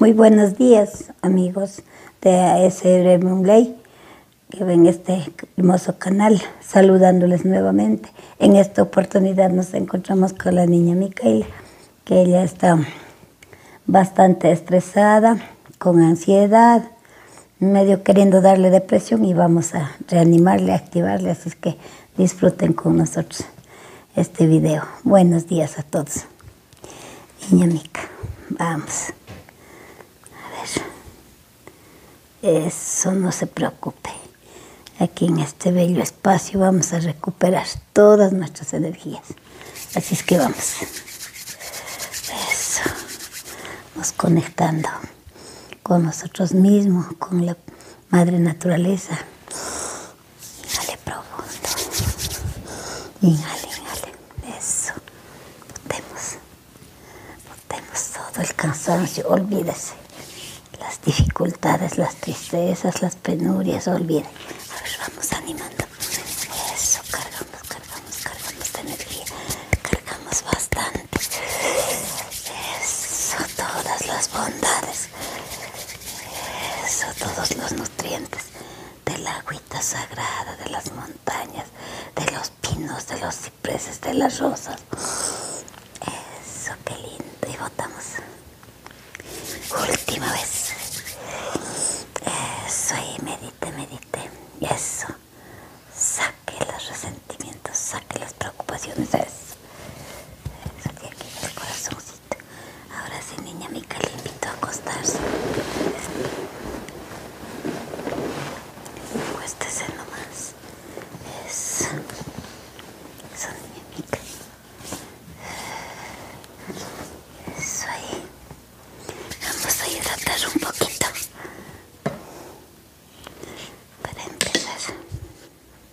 Muy buenos días, amigos de ASR que ven este hermoso canal, saludándoles nuevamente. En esta oportunidad nos encontramos con la niña Micaela, que ella está bastante estresada, con ansiedad, medio queriendo darle depresión y vamos a reanimarle, activarle, así que disfruten con nosotros este video. Buenos días a todos. Niña Mica, vamos. A ver. Eso no se preocupe. Aquí en este bello espacio vamos a recuperar todas nuestras energías. Así es que vamos. Eso. Nos conectando con nosotros mismos, con la madre naturaleza. Inhale profundo. Inhale, inhale. Eso. Botemos. Botemos todo el cansancio. Olvídese. Las dificultades, las tristezas, las penurias. Olvídese. vamos animando. Eso. Cargamos, cargamos, cargamos de energía. Cargamos bastante. Eso. Todas las bondades. Eso, todos los nutrientes de la agüita sagrada, de las montañas, de los pinos, de los cipreses, de las rosas. Eso, qué lindo. Y votamos Última vez. Eso, y medite, medite. Eso. Saque los resentimientos, saque las preocupaciones. Eso, el Ahora sí, niña Mica, le invito a acostarse. Acuéstese nomás. Eso. Eso, niña Mica. Eso ahí. Vamos a hidratar un poquito. Para empezar. Vamos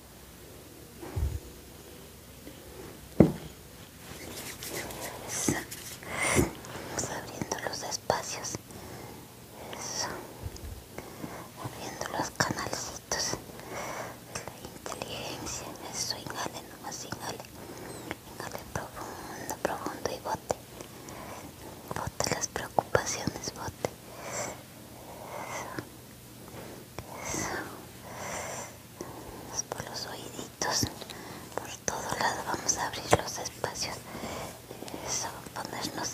abriendo los espacios. Eso. Abriendo los canalcitos. La inteligencia. Eso, inhale nomás, inhale. Inhale profundo, profundo y bote. Bote las preocupaciones, bote. Eso por los oíditos, por todo lado vamos a abrir los espacios, eso, ponernos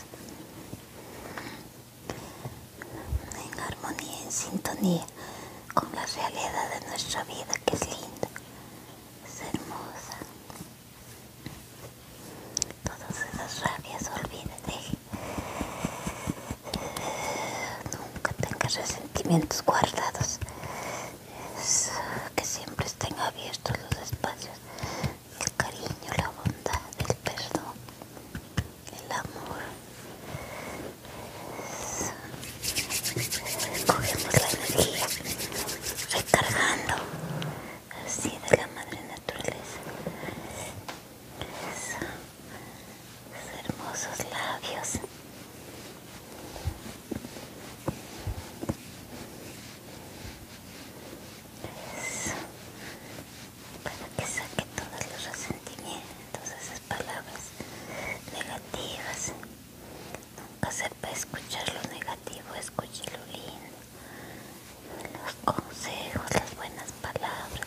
en armonía, en sintonía con la realidad de nuestra vida que es linda, es hermosa. Todas esas rabias olvídate nunca tengas resentimientos guardados, que siempre estén abiertos los espacios, el cariño, la bondad, el perdón, el amor. Cogemos la energía recargando así de la madre naturaleza esos hermosos labios eso. para que saque todos los resentimientos esas palabras negativas nunca sepa escuchar lo negativo escuche lo lindo los consejos las buenas palabras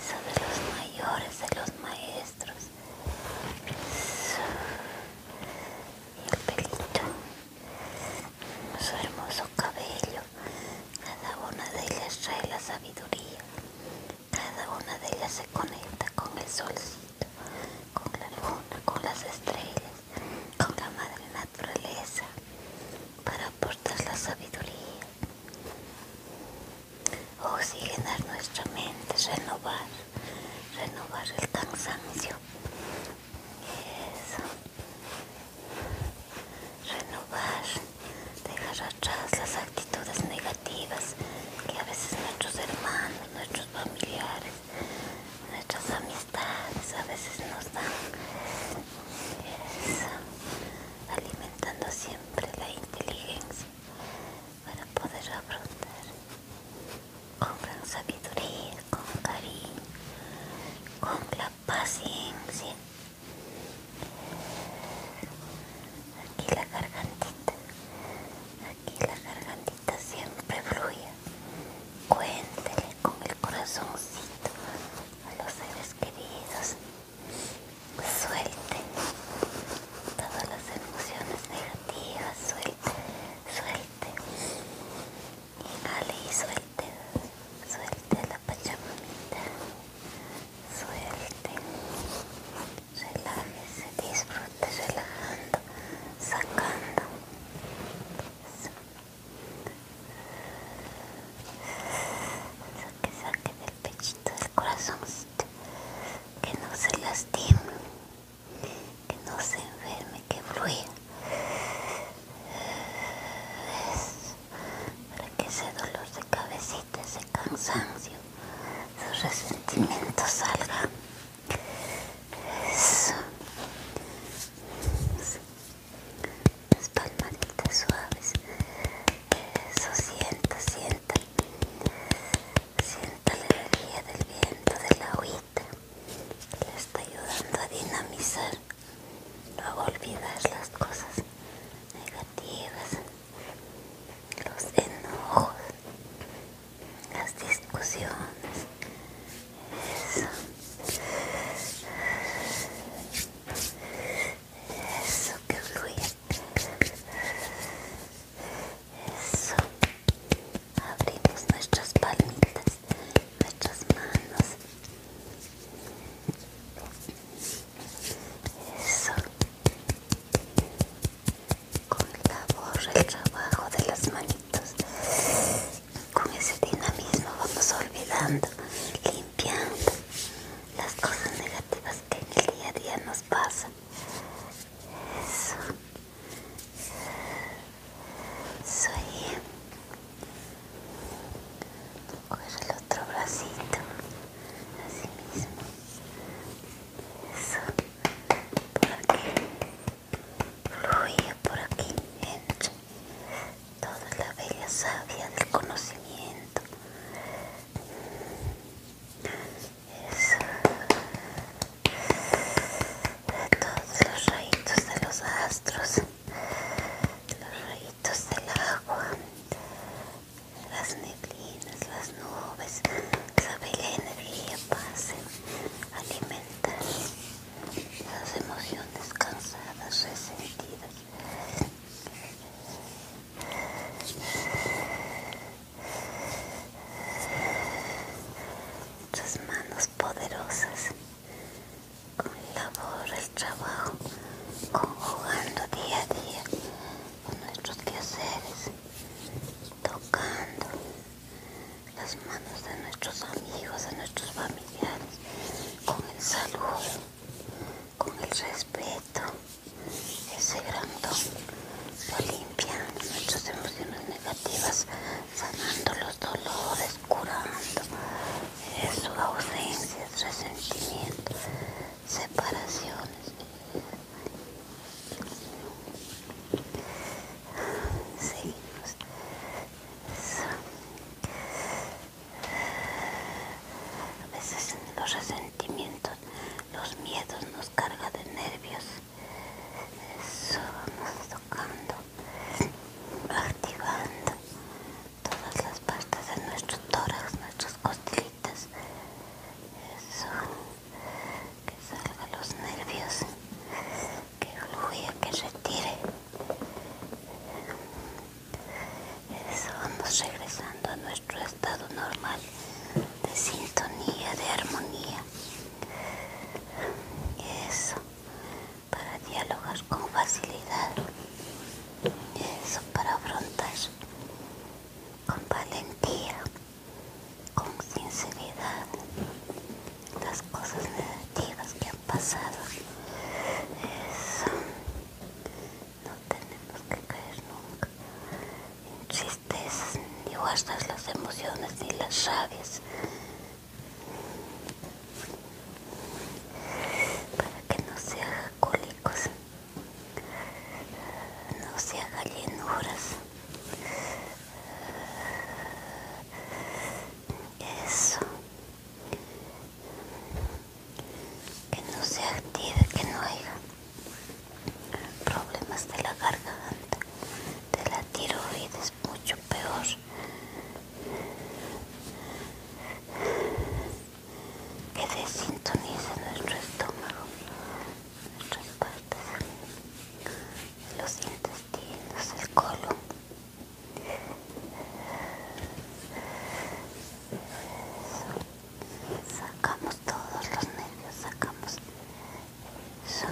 sobre los mayores de los maestros y el pelito su hermoso cabello cada una de ellas trae la sabiduría cada una de ellas se conecta con el solcito con la luna con las estrellas con la madre naturaleza para aportar la sabiduría oxigenar nuestra mente, renovar, renovar el cansancio. Renovar, dejar atrás las actitudes negativas que a veces nuestros hermanos, nuestros familiares, nuestras amistades a veces nos dan. Alimentando siempre la inteligencia para poder afrontar con gran sabiduría, con cariño, con la paciencia. Aquí la gargantita, aquí la gargantita siempre fluye. Cuéntele con el corazoncito a los seres queridos suelte todas las emociones negativas, suelte, suelte, inhale y suelte, suelte la pachamamita, suelte, relájese, disfrute relajando, sacando. Saque, saque de pechito del corazoncito que no se lastime que no se enferme que fluya Eso, para que ese dolor de cabecita ese cansancio esos resentimientos salga Eso las palmaritas suaves. Eso, sienta, sienta. Sienta la energía del viento, de la agüita. Le está ayudando a dinamizar, a olvidar las cosas negativas, los enojos, las discusiones. Eso eso que fluye, eso, abrimos nuestras palmitas, nuestras manos, eso, con el labor, el trabajo de las manitos, con ese dinamismo vamos olvidando, limpiando las cosas negativas que en el día a día nos pasan. Eso. Soy. Coger el otro bracito. Así mismo. Eso. Por aquí. Fluye por aquí. Entra. Toda la bella sabia del conocimiento de todos los rayitos de los astros los rayitos del agua las neblinas las nubes que la energía pase alimentar las emociones cansadas resentidas Nuestras manos poderosas con labor, el trabajo, conjugando día a día con nuestros quehaceres, tocando las manos de nuestros amigos, de nuestros familiares, con el saludo, con el respeto, ese don, lo limpia nuestras emociones negativas, sanando los dolores, curando eh, su ausencia, ausencias, resentimientos, separaciones. Seguimos. Pues, a veces los resentimientos, los miedos nos cargan de nervios. Eso vamos tocando, activando todas las partes de nuestro tórax, nuestras costillitas. Eso, que salgan los nervios, que fluya, que retire. Eso, vamos regresando a nuestro estado normal de sintonía, de armonía. Eso, para dialogar con facilidad. Eso, para afrontar con valentía, con sinceridad las cosas negativas que han pasado. Eso no tenemos que caer nunca en tristezas, ni guardas las emociones, ni las rabias, para que no se hagan cólicos, no se haga llenuras. Eso, que no se active, que no haya problemas de la garganta, de la tiroides, mucho peor. Que desintonice nuestro estómago, nuestras partes, los intestinos, el colon sacamos todos los nervios, sacamos eso,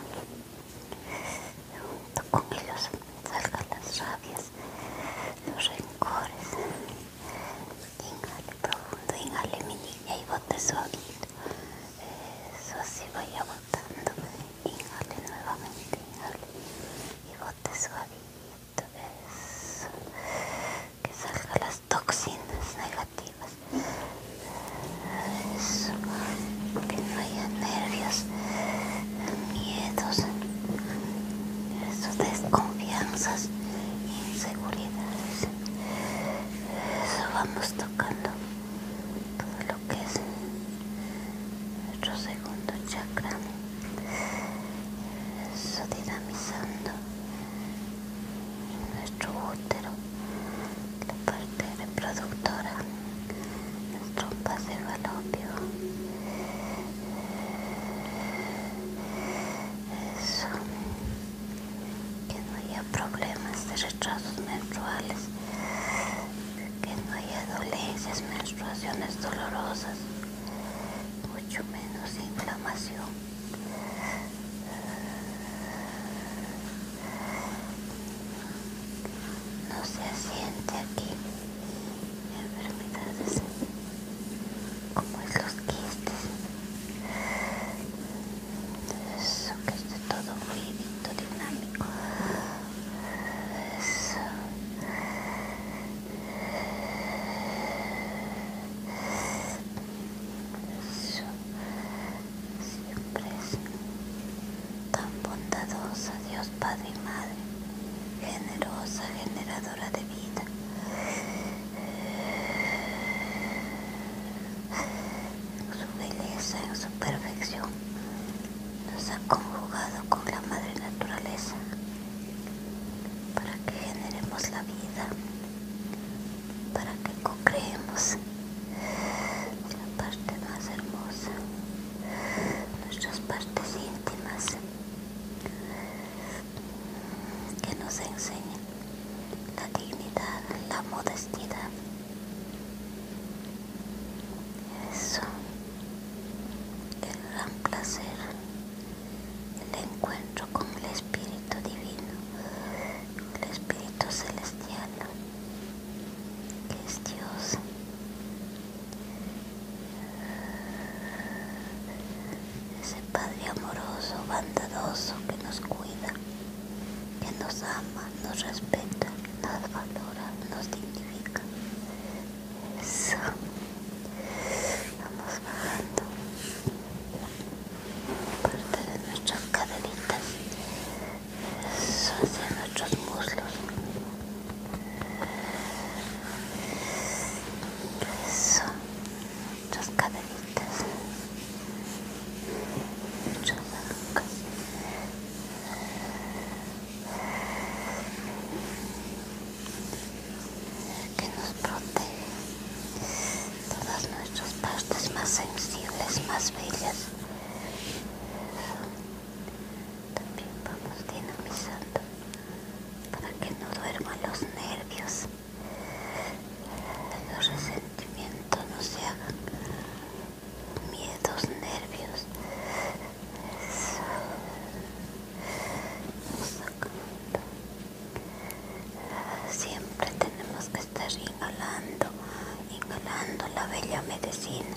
junto con ellos salgan las rabias, los rencores. Inhale profundo, inhale mi niña y bote suavito. Eso así vaya botando. Inhale nuevamente, inhale y bote suavito que salgan las toxinas negativas. Eso, que no haya nervios, miedos, desconfianzas, inseguridades. Eso vamos tocando todo lo que es nuestro segundo chakra eso dinamizando nuestro útero, la parte reproductora, nuestro trompas del Eso, que no haya problemas de retrasos menstruales, que no haya dolencias, menstruaciones dolorosas mucho menos inflamación no se siente aquí enfermedades como es los quistes eso que esté todo muy lindo dinámico eso siempre tan bondadosa, Dios Padre y Madre, generosa, generadora de vida. En su belleza, en su perfección, nos ha conjugado con la Madre Naturaleza para que generemos la vida, para que co-creemos la parte más hermosa, nuestras partes íntimas, que nos enseñen la dignidad, la modestidad. Eso, el gran placer el encuentro con el Espíritu Divino, el Espíritu Celestial, que es Dios. Ese Padre amoroso, bondadoso que nos cuida, que nos ama, nos respeta, nos valora, nos dignifica, eso. Vamos bajando parte de nuestras caderitas Eso, hacia nuestros muslos. Eso, nuestras caderitas. Eso que nos protege todas nuestras partes más sensibles, más bellas. También vamos dinamizando para que no duerman los nervios, que los resentimientos no se hagan miedos, nervios. Siempre tenemos que estar inhalando, inhalando la bella medicina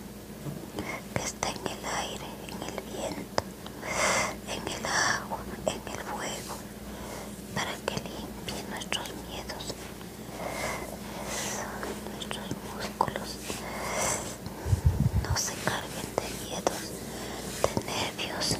que está en el aire, en el viento, en el agua, en el fuego, para que limpie nuestros miedos, nuestros músculos, no se carguen de miedos, de nervios.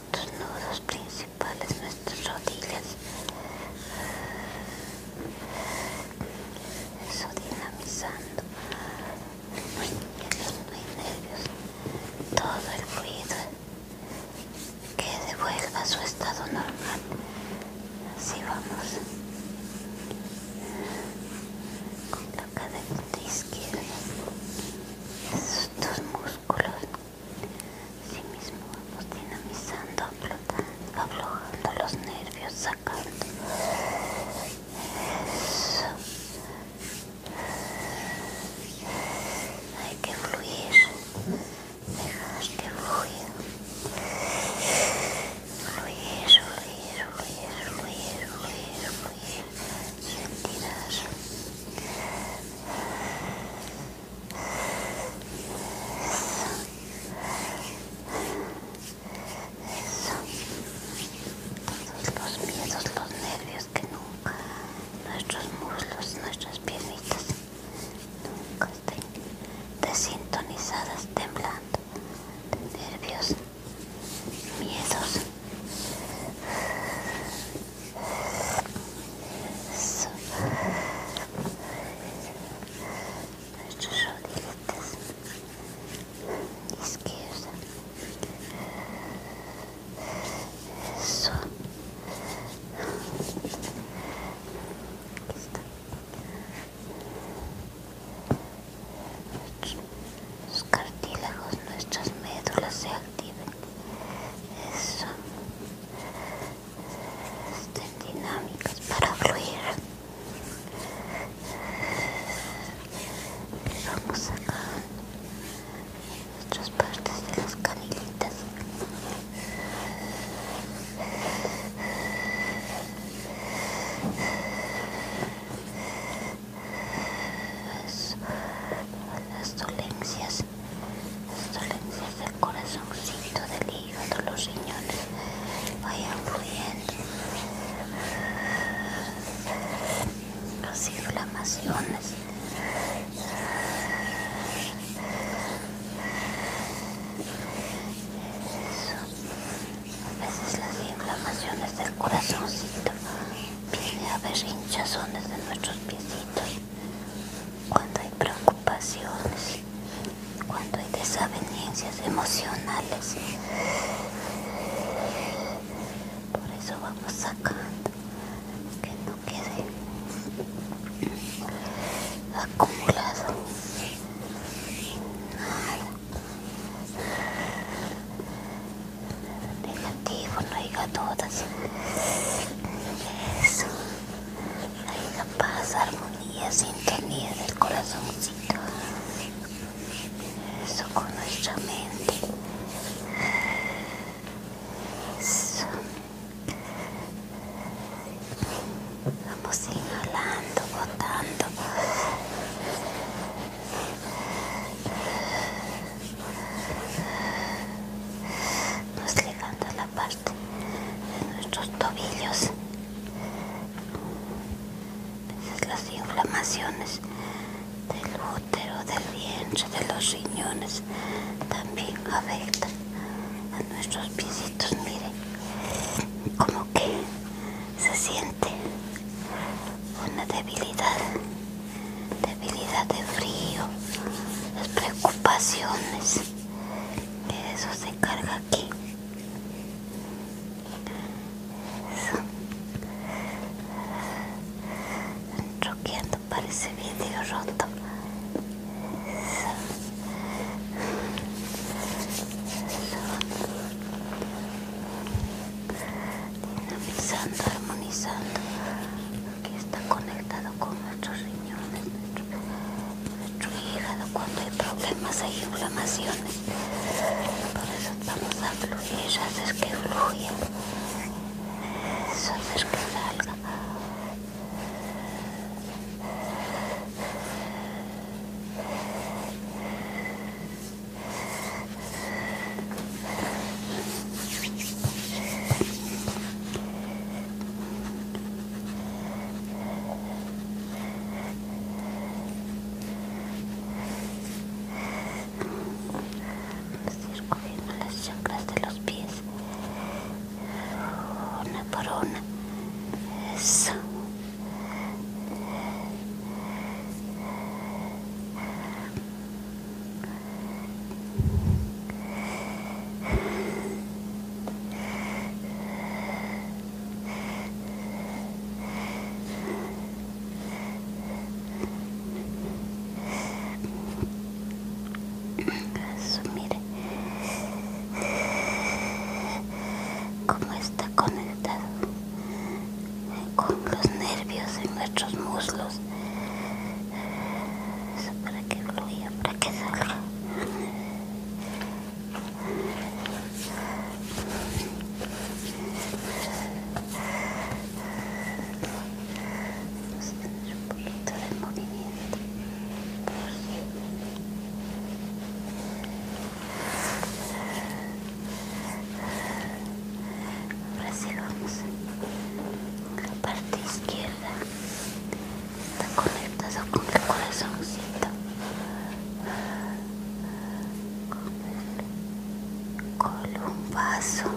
nuestros nudos principales, nuestras rodillas. Eso dinamizando. muy hay nervios, no hay nervios. Todo el ruido que devuelva a su estado normal. Así vamos. Con la cadena esos estos músculos así mismo vamos dinamizando aflojando, los nervios sacando Eso. hay que fluir dejar que fluya fluir fluir fluir fluir fluir fluir sentidas eso, eso. todos los miedos, los nervios que nunca nuestros muslos, nuestras piernitas nunca estén desintonizadas, temblando de nervios, miedos eso. Nuestras rodillitas izquierda. Eso. cartílagos, nuestras médulas se activen eso estén dinámicas para fluir vamos acá nuestras nuestras partes de las canilitas las dolencias, las dolencias del corazoncito, del hígado, los riñones vayan fluyendo. Las inflamaciones. Eso. A veces las inflamaciones del corazoncito a haber hinchazones de nuestros piecitos, cuando hay preocupaciones, cuando hay desavenencias emocionales. Por eso vamos sacando, que no quede acumulado negativo, no hay todas. Eso. una paz, armonía, sintonía del corazoncito. Eso con nuestra mente. Eso. Vamos inhalando, botando nos a la parte de nuestros tobillos las inflamaciones del útero, del vientre, de los riñones también afectan a nuestros pisitos, miren como que se siente una debilidad debilidad de frío, las preocupaciones, que de eso se carga aquí. Eso. para ese vídeo roto dinamizando, armonizando, porque está conectado con nuestros riñones, nuestro, hígado, cuando hay problemas, hay inflamaciones. Por eso vamos a fluir, haces que fluya, haces que salga cogiendo las chancras de los pies una por una. Eso, mire cómo está conectado con los nervios en nuestros muslos para que fluya, para que salga. Vamos a tener un poquito de movimiento ahora vamos en la parte izquierda está conectada con el corazoncito con, con un vaso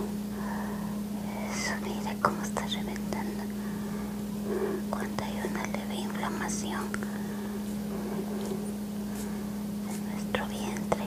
eso mira cómo está reventando cuando hay una leve inflamación en nuestro vientre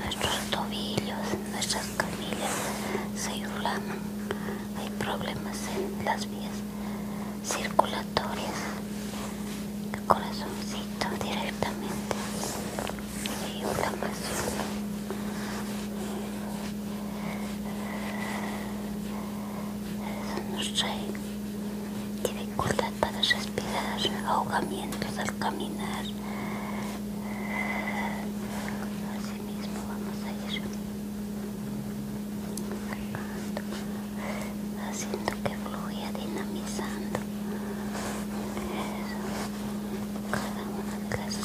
nuestros tobillos, nuestras camillas se inflaman. Hay problemas en las vías circulatorias. El corazoncito directamente. Hay inflamación eso nos trae dificultad para respirar, ahogamiento al caminar. Así mismo vamos a ir haciendo que fluya, dinamizando Eso. cada una de las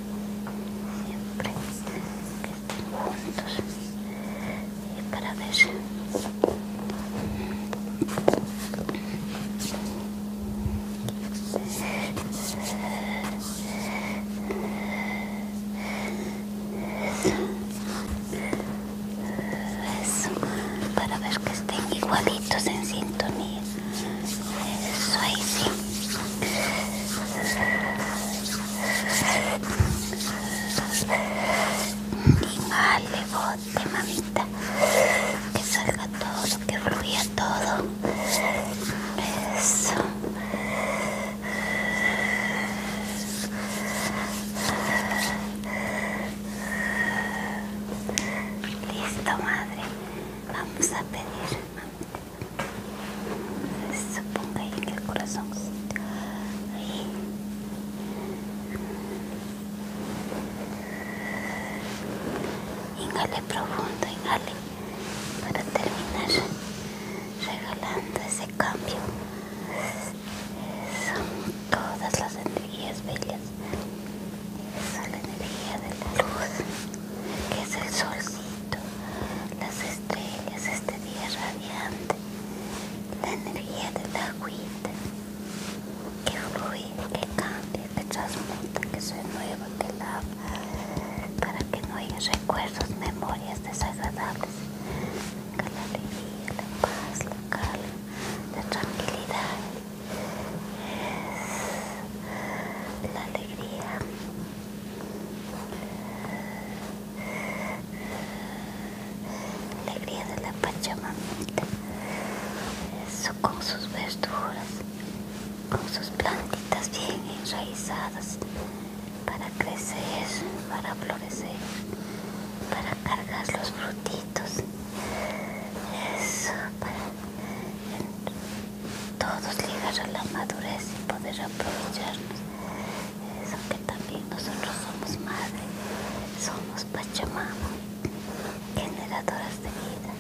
siempre que estén juntos y para ver para ver que estén igualitos en sintonía. Eso ahí sí. Vale, bote, mamita. Que salga todo, que fluya todo. Eso. Listo, madre. Vamos a pedir, suponga ahí en el corazón Ahí. Inhale profundo, inhale. Para terminar regalando ese cambio. Son todas las energías bellas. son la energía de la luz que es el solcito, las estrellas, este día radiante, la energía de la agüita que fluye, que cambia, que transmuta, que se nuevo, que lava, para que no haya recuerdos, memorias desagradables. Venga la alegría, la paz, la calma, la tranquilidad, la alegría. Alegría de la Pachamamita, eso con sus verduras, con sus plantitas bien enraizadas para crecer, para florecer, para cargar los frutitos, eso para todos llegar a la madurez y poder aprovecharnos. Eso que también nosotros somos madres somos Pachamama, generadoras de vida.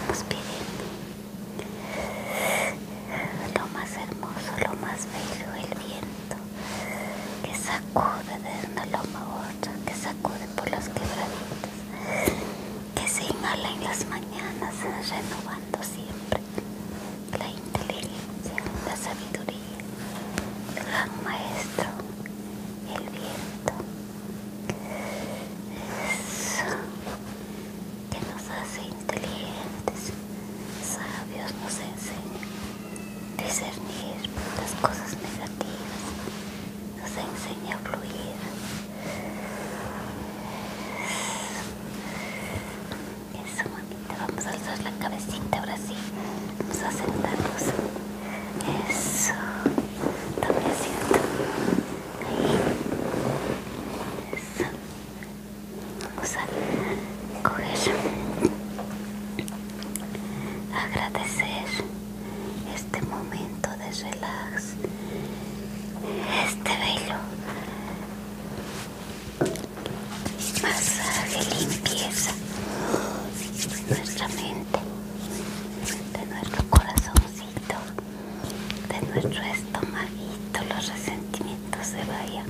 Vamos pidiendo lo más hermoso, lo más bello, el viento que sacude de una loma a otra, que sacude por las quebraditas que se inhala en las mañanas, renovando siempre la inteligencia, la sabiduría, el gran maestro, el viento. Eso que nos hace inteligentes, sabios, nos enseña discernir las cosas negativas, nos enseña a fluir. Eso Vamos a alzar la cabecita ahora sí. Vamos a sentarnos. Eso. también asiento. Ahí. Eso. Vamos a coger. Agradecer este momento de relax este velo masaje limpieza de nuestra mente de nuestro corazoncito de nuestro estomaguito los resentimientos se vayan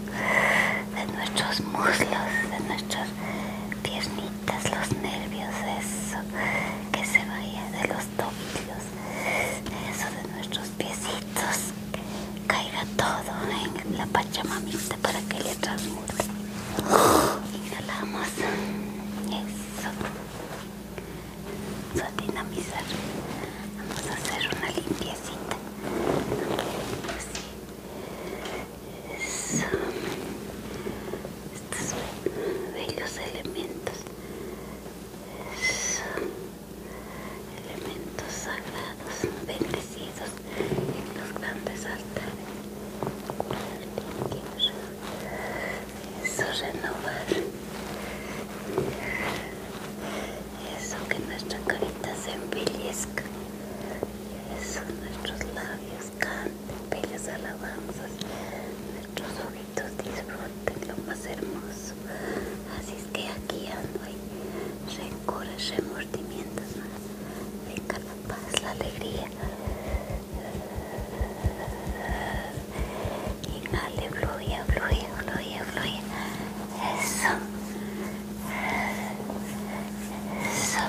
de nuestros muslos de nuestras piernitas los nervios eso que se vaya de los tobillos eso de nuestros piecitos caiga todo en la pachamamita para que le transmute inhalamos eso vamos a dinamizar vamos a hacer una limpiecita así eso. estos bellos elementos elementos sagrados bendecidos en los grandes altares. Eso renovar. Eso que nuestra carita se embellezca. Eso nuestros labios canten bellas alabanzas. Nuestros disfruten lo más hermoso. Así es que aquí ando hay rencores, remordimientos, venga la paz, la alegría. Inhale, fluya, fluye, fluye fluya. Eso. Eso.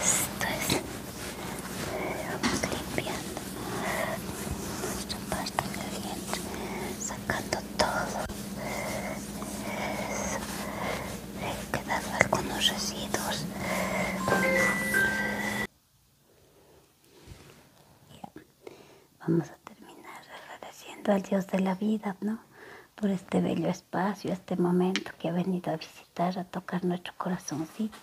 Esto es. Eh, vamos limpiando nuestra parte del sacando todo. Eso. algunos residuos. Vamos a terminar agradeciendo al Dios de la vida, ¿no? Por este bello espacio, este momento que ha venido a visitar a tocar nuestro corazoncito,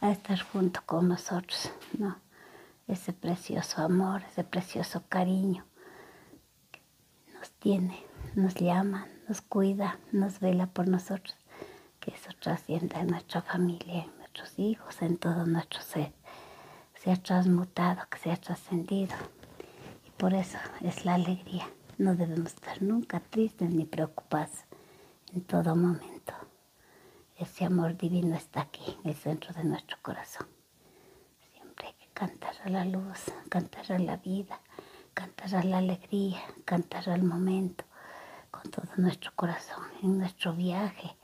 a estar junto con nosotros, ¿no? Ese precioso amor, ese precioso cariño nos tiene, nos llama, nos cuida, nos vela por nosotros. Que eso trascienda en nuestra familia, en nuestros hijos, en todo nuestro ser. Se ha transmutado, que se ha trascendido. Y por eso es la alegría. No debemos estar nunca tristes ni preocupados en todo momento. Ese amor divino está aquí, en el centro de nuestro corazón. Siempre hay que cantar a la luz, cantar a la vida, cantar a la alegría, cantar al momento, con todo nuestro corazón, en nuestro viaje,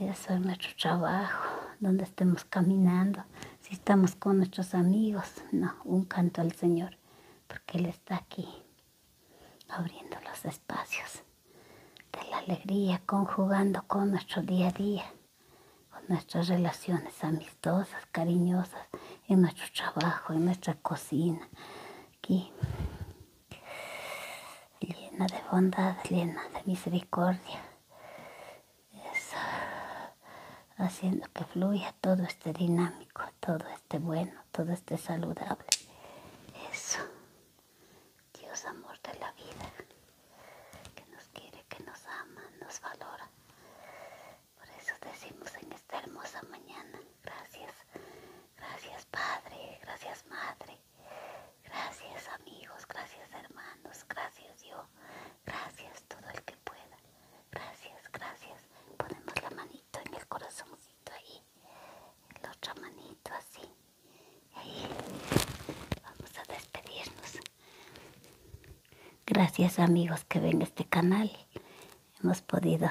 eso en nuestro trabajo, donde estemos caminando, si estamos con nuestros amigos, no, un canto al Señor, porque Él está aquí abriendo los espacios de la alegría, conjugando con nuestro día a día, con nuestras relaciones amistosas, cariñosas, en nuestro trabajo, en nuestra cocina, aquí, llena de bondad, llena de misericordia, haciendo que fluya todo este dinámico, todo esté bueno, todo esté saludable. Eso. Dios amor de la vida, que nos quiere, que nos ama, nos valora. Por eso decimos en esta hermosa mañana, gracias, gracias Padre, gracias Madre, gracias amigos, gracias hermanos, gracias Dios gracias todo el que pueda, gracias, gracias. Ponemos la manito en el corazón manito así, vamos a despedirnos. Gracias amigos que ven este canal, hemos podido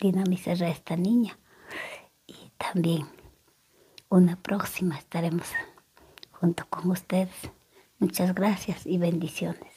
dinamizar a esta niña y también una próxima estaremos junto con ustedes. Muchas gracias y bendiciones.